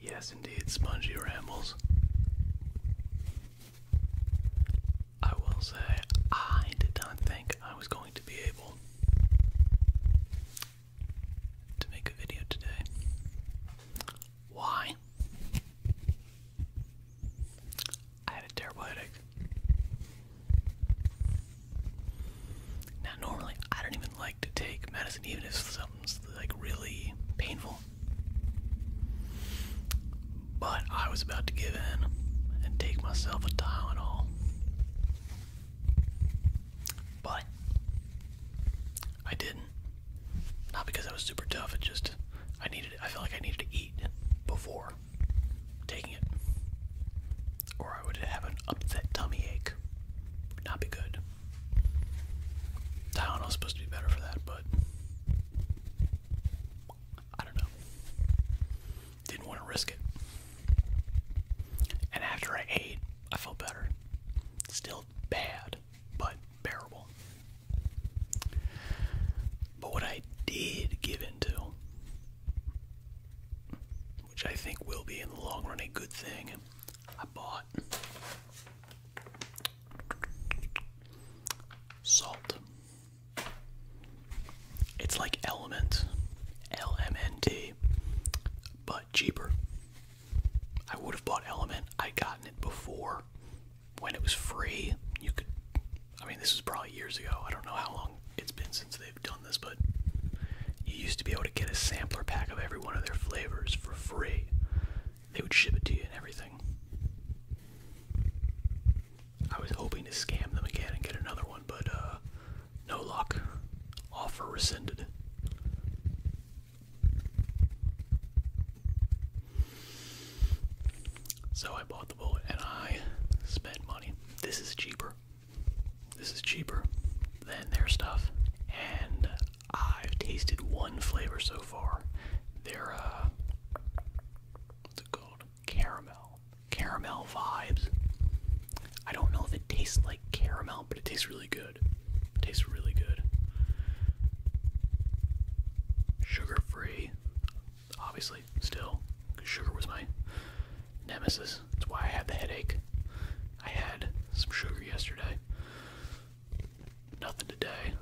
Yes, indeed, spongy rambles. I will say, I did not think I was going to be able to make a video today. Why? I had a terrible headache. Now, normally, I don't even like to take medicine, even if something's like really painful. But I was about to give in and take myself a Tylenol. But I didn't. Not because I was super tough, it just I needed I felt like I needed to eat before taking it or I would have an upset tummy ache. Would not be good. Tylenol's supposed to be better for that, but I don't know. Didn't want to risk it. And after I ate, I felt better. Still bad, but bearable. But what I did give into which I think will be in the long run a good thing. I bought salt. It's like Element, LMNT, but cheaper. I would have bought Element. I gotten it before when it was free. You could I mean this was probably years ago. I don't know how long it's been since they done this, but you used to be able to get a sampler pack of every one of their flavors for free. They would ship it to you and everything. I was hoping to scam them again and get another one, but uh, no luck. Offer rescinded. So I bought the bullet and I spent money. This is cheaper. This is cheaper than their stuff, and I've tasted one flavor so far. They're uh, what's it called? Caramel, caramel vibes. I don't know if it tastes like caramel, but it tastes really good. tastes really good. Sugar free, obviously, still. Sugar was my nemesis. That's why I had the headache. I had some sugar yesterday. Nothing today.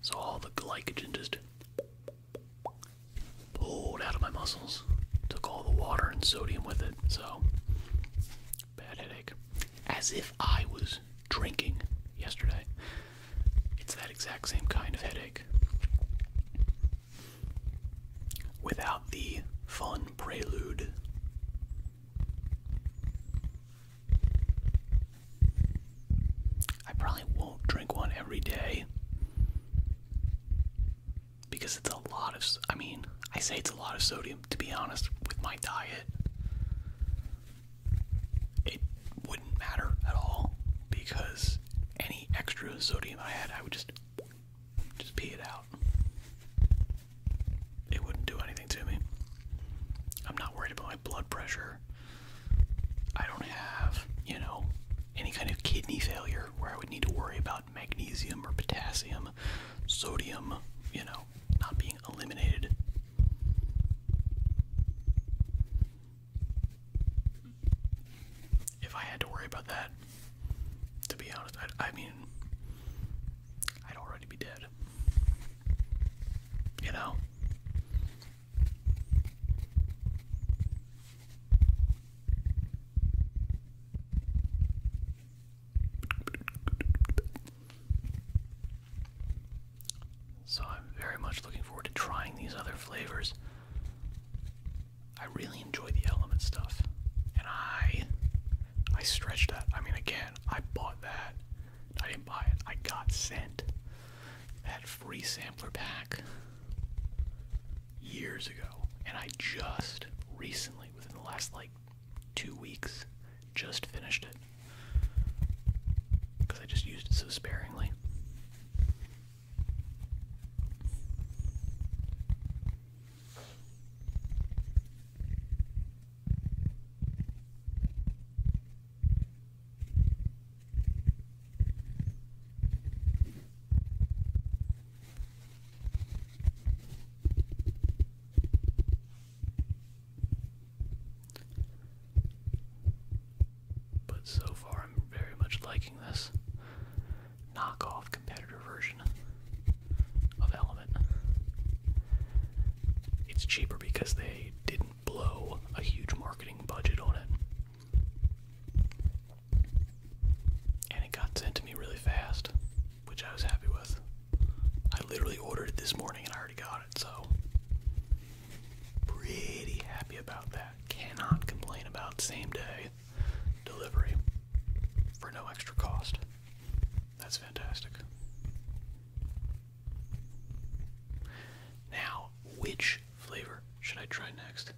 So all the glycogen just pulled out of my muscles. Took all the water and sodium with it, so bad headache. As if I was drinking yesterday. It's that exact same kind of headache without the fun prelude. I probably won't drink one every day because it's a lot of, I mean, I say it's a lot of sodium, to be honest, with my diet. It wouldn't matter at all because any extra sodium I had, I would just just pee it out. It wouldn't do anything to me. I'm not worried about my blood pressure. I don't have, you know, any kind of kidney failure where I would need to worry about magnesium or potassium, sodium, you know, not being eliminated. If I had to worry about that, to be honest, i mean, I'd already be dead. You know? So I'm very much looking forward to trying these other flavors. I really enjoy the element stuff. And I I stretched that. I mean again, I bought that. I didn't buy it. I got sent that free sampler pack years ago. And I just recently, within the last like two weeks, just finished it. Because I just used it so sparingly. But so far, I'm very much liking this knockoff competitor version of Element. It's cheaper because they didn't blow a huge marketing budget on it. And it got sent to me really fast, which I was happy with. I literally ordered it this morning and I already got it, so Pretty happy about that. Cannot complain about same day delivery for no extra cost. That's fantastic. Now, which flavor should I try next?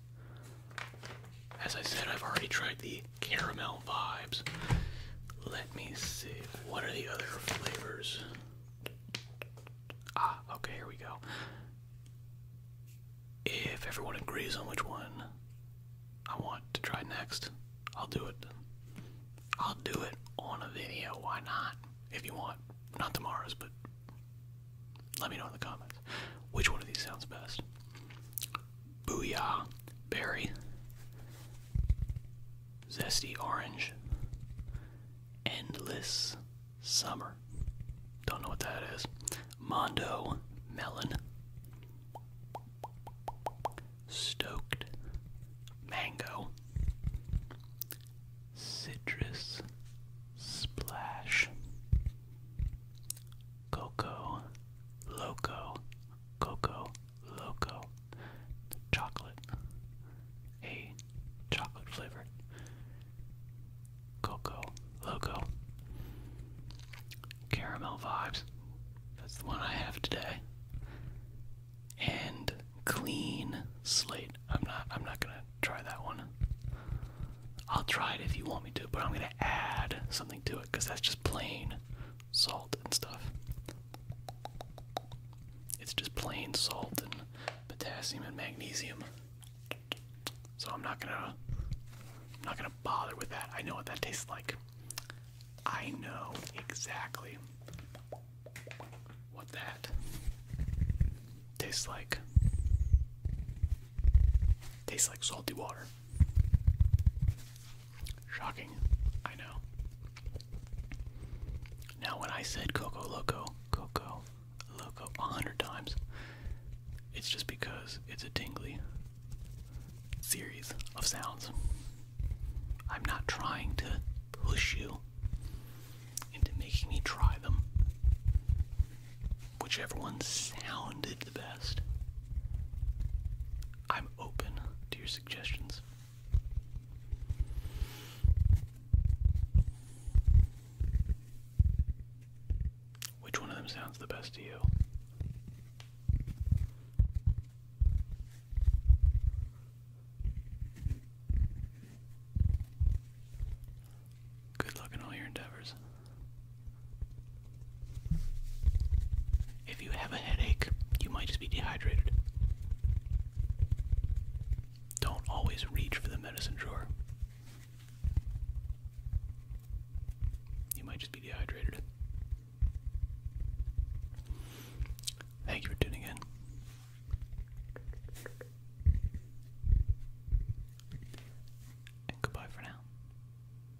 As I said, I've already tried the caramel vibes. Let me see. What are the other flavors? Ah, okay, here we go. If everyone agrees on which one I want to try next, I'll do it. I'll do it on a video, why not? If you want. Not tomorrow's, but let me know in the comments. Which one of these sounds best? Booyah, berry, Zesty Orange, Endless Summer. Don't know what that is. Mondo Melon, Stoked Mango, Citrus Splash, Coco Loco, Coco Loco chocolate, a chocolate flavored cocoa loco caramel vibes. That's the one I have today. And clean slate. I'm not. I'm not gonna try that one. I'll try it if you want me to, but I'm gonna add something to it because that's just plain salt and stuff. It's just plain salt and potassium and magnesium. So I'm not gonna not gonna bother with that. I know what that tastes like. I know exactly what that tastes like. Tastes like salty water. Shocking, I know. Now, when I said Coco Loco, Coco Loco a hundred times, it's just because it's a tingly series of sounds. I'm not trying to push you into making me try them. Whichever one sounded the best. I'm open your suggestions. Which one of them sounds the best to you? Good luck in all your endeavors. If you have a headache, you might just be dehydrated. Don't always reach for the medicine drawer. You might just be dehydrated. Thank you for tuning in. goodbye for now.